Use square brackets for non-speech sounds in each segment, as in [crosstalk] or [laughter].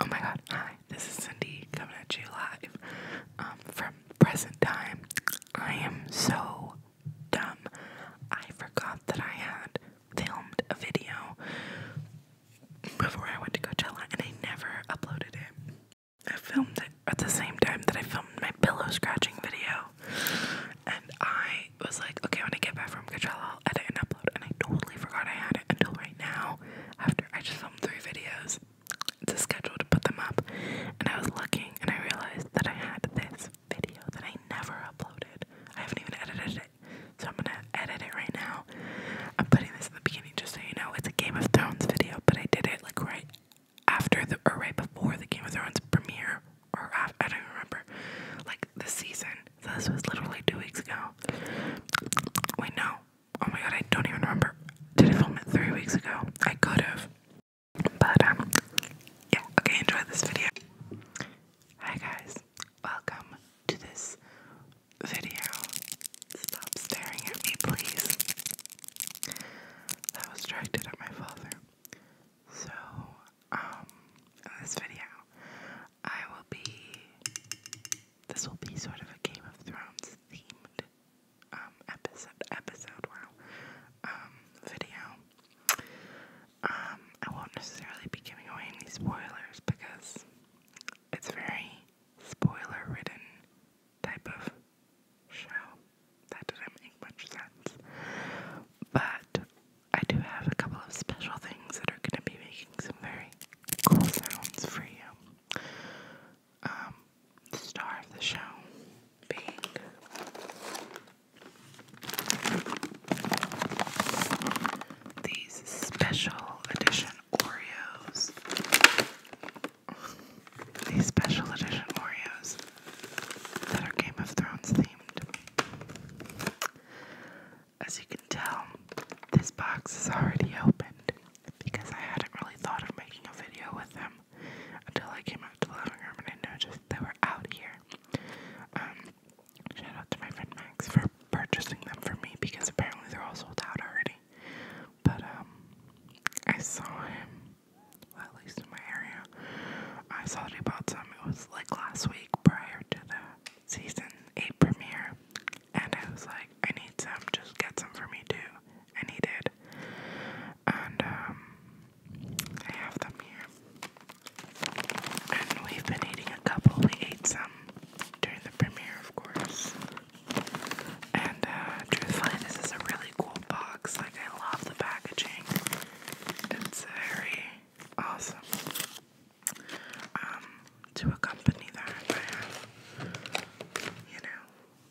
Oh my god, hi, this is Cindy coming at you live um, from present time. I am so dumb. I forgot that I had filmed a video before I went to Coachella and I never uploaded it. I filmed it at the same time that I filmed my pillow scratching video. And I was like, okay, when I get back from Coachella, I'll edit and upload and I totally forgot I had it until right now. After I just filmed three videos to schedule to put them up, and I was looking and I realized that I had this video that I never uploaded. I haven't even edited it, so I'm gonna edit it right now. I'm putting this in the beginning just so you know it's a Game of Thrones video, but I did it like right after the or right before the Game of Thrones premiere, or after, I don't even remember, like the season this was literally two weeks ago. Wait, no. Oh my god, I don't even remember. Did I film it three weeks ago? I could have. But, um, yeah, okay, enjoy this video. Hi guys, welcome to this video. Stop staring at me, please. That was directed at my father. So, um, this video, I will be. This will be sort of a Game of Thrones themed um, episode. Episode, wow. Um, video. Um, I won't necessarily be giving away any spoilers because it's very spoiler-ridden type of show. That didn't make much sense, but I do have a couple of special things that are going to be making some very cool sounds for you. Um, the star of the show being. These special edition Oreos. These special edition Oreos that are Game of Thrones themed. As you can tell, this box is already opened because I hadn't really thought of making a video with them until I came out to the living room and I noticed they were out here. Um, shout out to my friend Max for purchasing them for me because apparently they're all sold out already. But, um, I saw him, at least in my area. I saw that he bought some, it was like last week prior to that season 8 premiere, and I was like, I need some, just get some for me too. And he did. And, um, I have them here. And we've been eating a couple. We ate some during the premiere, of course. And, uh, truthfully, this is a really cool box. Like, I love the packaging. It's very Awesome. Um, to accompany that, I have, you know,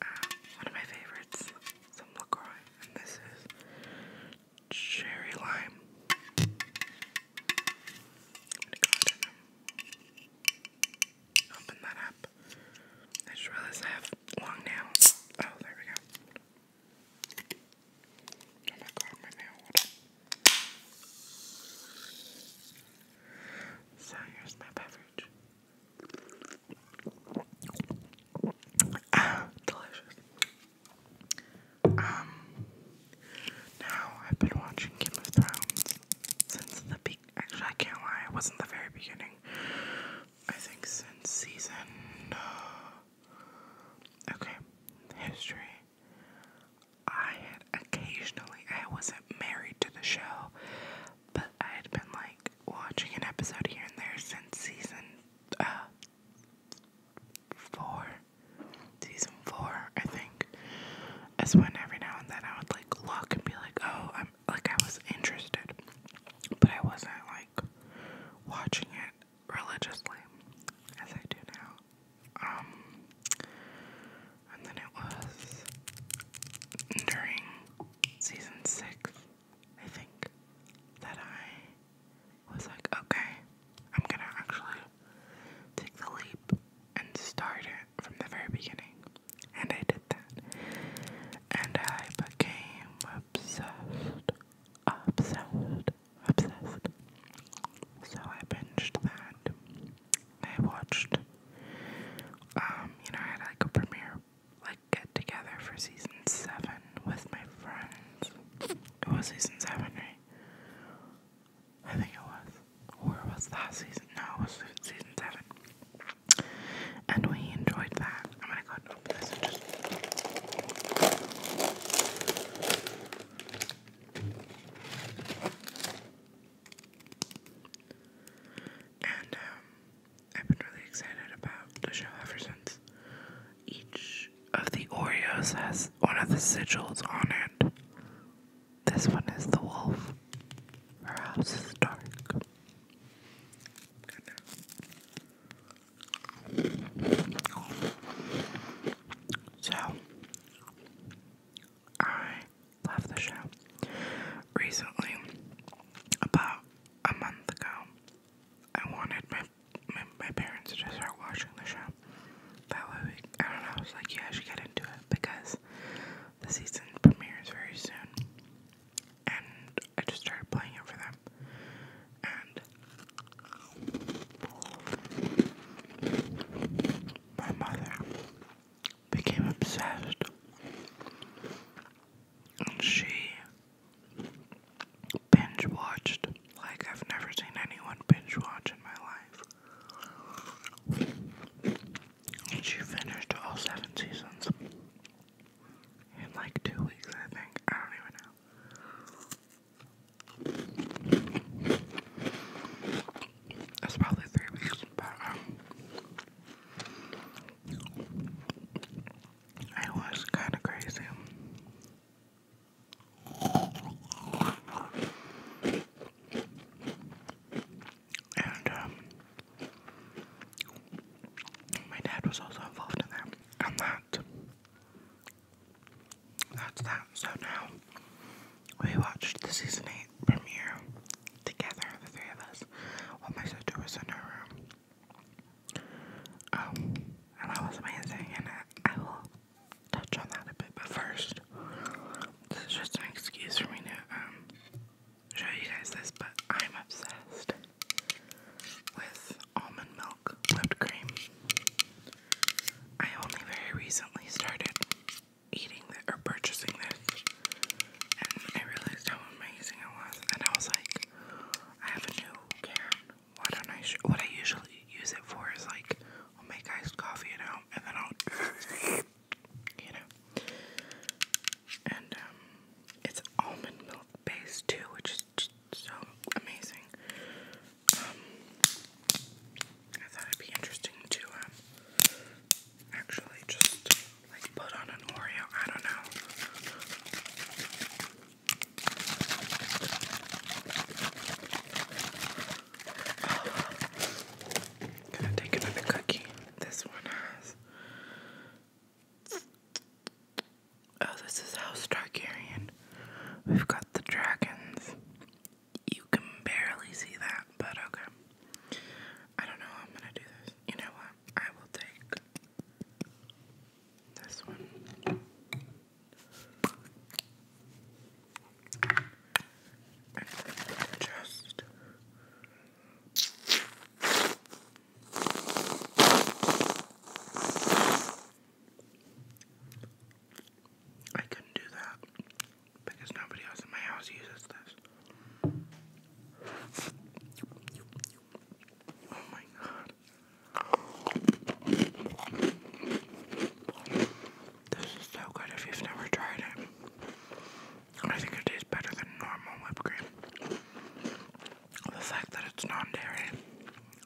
uh, one of my favorites, some LaCroix, and this is cherry lime. open that up. I just have long nails. Oh, there we go. Oh my god, my nail, hold So here's my beverage. Ah, delicious. Um, now I've been watching Game of Thrones since the be Actually, I can't lie, it wasn't the very beginning. I think since season uh, Okay, history. I had occasionally, I wasn't married to the show, but I had been like watching an episode here and there since season uh, four. Season four, I think, is when every now and then I would like look and be like, oh, I'm like I was interested, but I wasn't like watching it religiously, as I do now. Um, and then it was during season six, I think, that I was like, okay, I'm gonna actually take the leap and start it from the very beginning. And I did that. And I became obsessed, obsessed, obsessed. So I binged that. I watched, um, you know, I had like a premiere, like get together for season seven with my friends. It was season seven, right? I think it was. Or was last season. No, it was season seven. And we enjoyed that. I'm gonna go and um, I've been really excited about the show ever since. Each of the Oreos has one of the sigils on it. This one is the wolf. Her house is dark. And, uh, so, I love the show. Recently, about a month ago, I wanted my my, parents to start watching the show. That way, I don't know. I was like, yeah, I get into it because the season premieres very soon and I just started playing it for them. And my mother became obsessed. she binge watched like I've never seen anyone binge watch in my life. And she finished all seven seasons in like two weeks, I think. I don't even know. It's probably three weeks, but um, it was kind of crazy. And um, my dad was also involved in that and that that's that. So now we watched the season eight premiere together, the three of us. While my sister was in her room. Um and that was amazing and I, I will touch on that a bit, but first this is just an excuse for me to um show you guys this, but I'm obsessed with almond milk whipped cream. I only very recently started eating that or purchasing this, and I realized how amazing it was. And I was like, I have a new can. What I usually use it for is like I'll make iced coffee at home, and then I'll, [laughs] you know. And um, it's almond base two, which is just so amazing. Um, I thought it'd be interesting to um, actually just like put on an Oreo. I don't know. gonna take another cookie. This one has Oh, this is House Starkarian. We've got the dragons. You can barely see that, but okay. I don't know I'm gonna do this. You know what? I will take this one. just I couldn't do that because nobody else in my house uses this. Oh my god. This is so good if you've never tried it. I think it tastes better than normal whipped cream. The fact that it's non dairy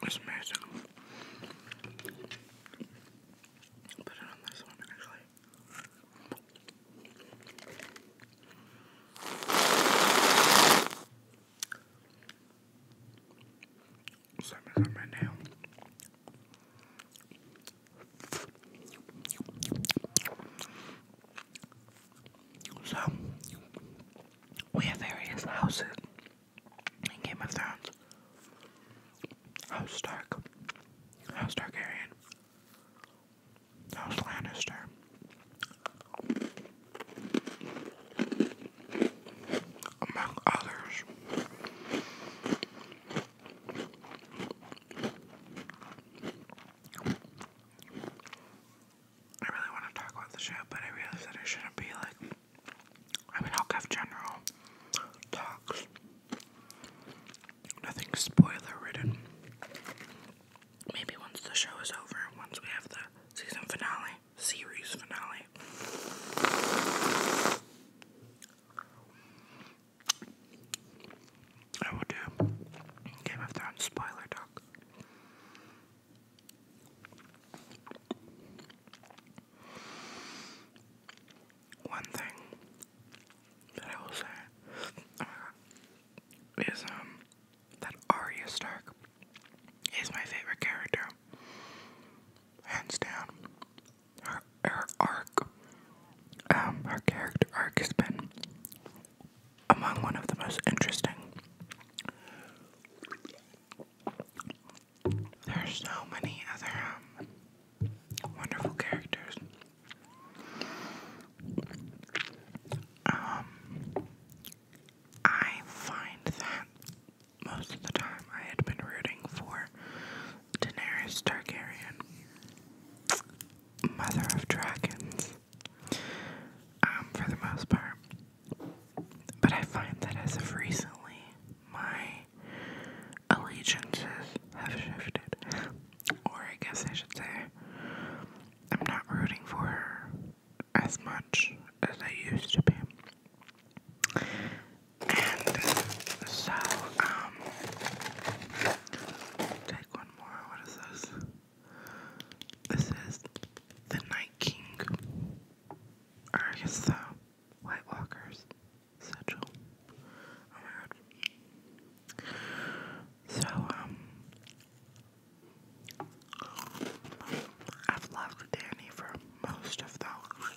is amazing. put it on this one actually. Something's on my nail. So, we have various houses in Game of Thrones. House Stark, House Targaryen, House Lannister. Among others, I really want to talk about the show, but I realized that I shouldn't be like. I mean, I'll have general talks. Nothing spoiler ridden. Maybe once the show is over, once we have the season finale, series finale. I will do Game of Thrones spoiler talk. One thing that I will say uh, is um, that Arya Stark is my favorite character, hands down. Her her arc um, her character arc has been among one of the most interesting. There are so many other um, wonderful characters. Um, I find that most of the time I had been rooting for Daenerys Targaryen, mother of dragons, um, for the most part. But I find that as of recently, my allegiances have shifted. Or I guess I should say, I'm not rooting for her as much as I used to be. And so, um, Take one more. What is this? This is the Night King. Or I guess the White Walkers Sigil. Oh my god. So, um. I've loved Danny for most of the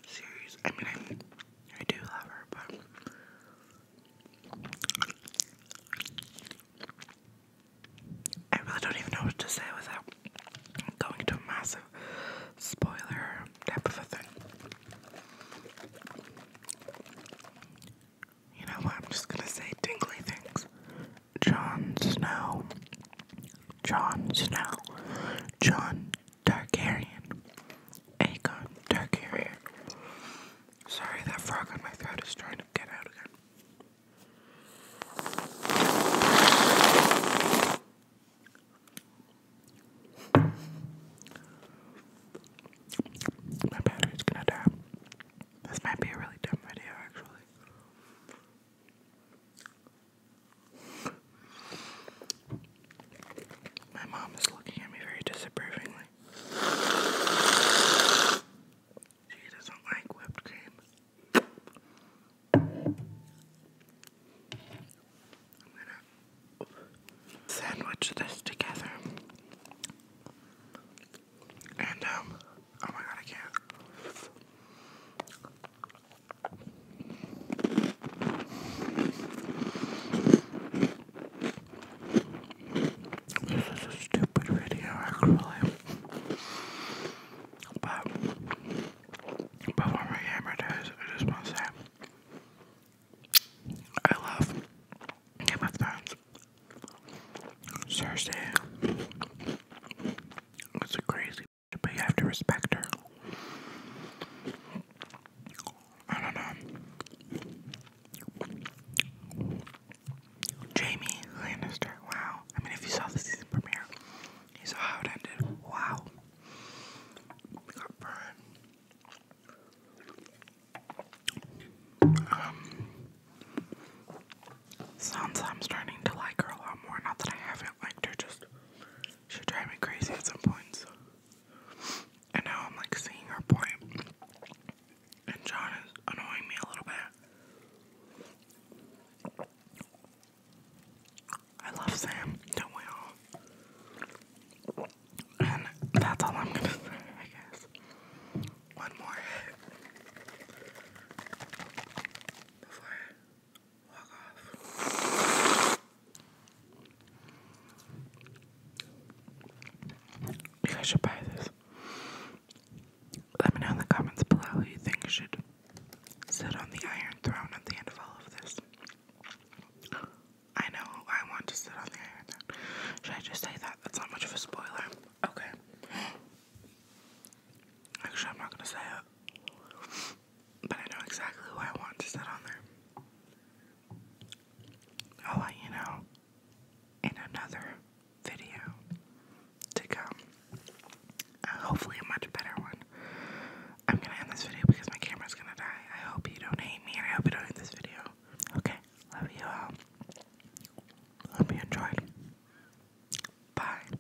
series. I mean, I, I do love her, but I really don't even know what to say without going into a massive spoiler type of a thing. You know what? I'm just gonna say tingly things. Jon Snow. Jon Snow. Jon Targaryen. Aegon Targaryen. Sorry, that frog on my throat is trying to get out again. My battery's gonna die. This might be a really dumb video, actually. My mom is looking at me very disapprovingly. She doesn't like whipped cream. I'm gonna sandwich this together. And, um, oh my god, I can't. This is a stupid video, actually. But before my hammer does, I just want to say I love Game of Thrones. Cersei. It's a crazy, but you have to respect her. I don't know. Jamie Lannister, wow. I mean, if you saw the season premiere, you saw how ended. Wow. We got burned. Um, starting to like her a lot more. Not that I haven't liked her, just she drives me crazy at some points. And now I'm like seeing her And John is annoying me a little bit. I love Sam, don't we all? And that's all I'm gonna say, I guess. One more before Walk You guys should buy this. Let me know in the comments below who you think should sit on the Iron Throne at the end of all of this. I know I want to sit on the Iron Throne. Should I just say that? That's not much of a spoiler. Okay. Actually, I'm not gonna say it. But I know exactly why I want to sit on there. I'll let you know in another video to come. Uh, hopefully, a much better one. I'm gonna end this video because my camera's gonna die. I hope you don't hate me I hope you don't hate this video. Okay, love you all. Hope you enjoyed. Bye.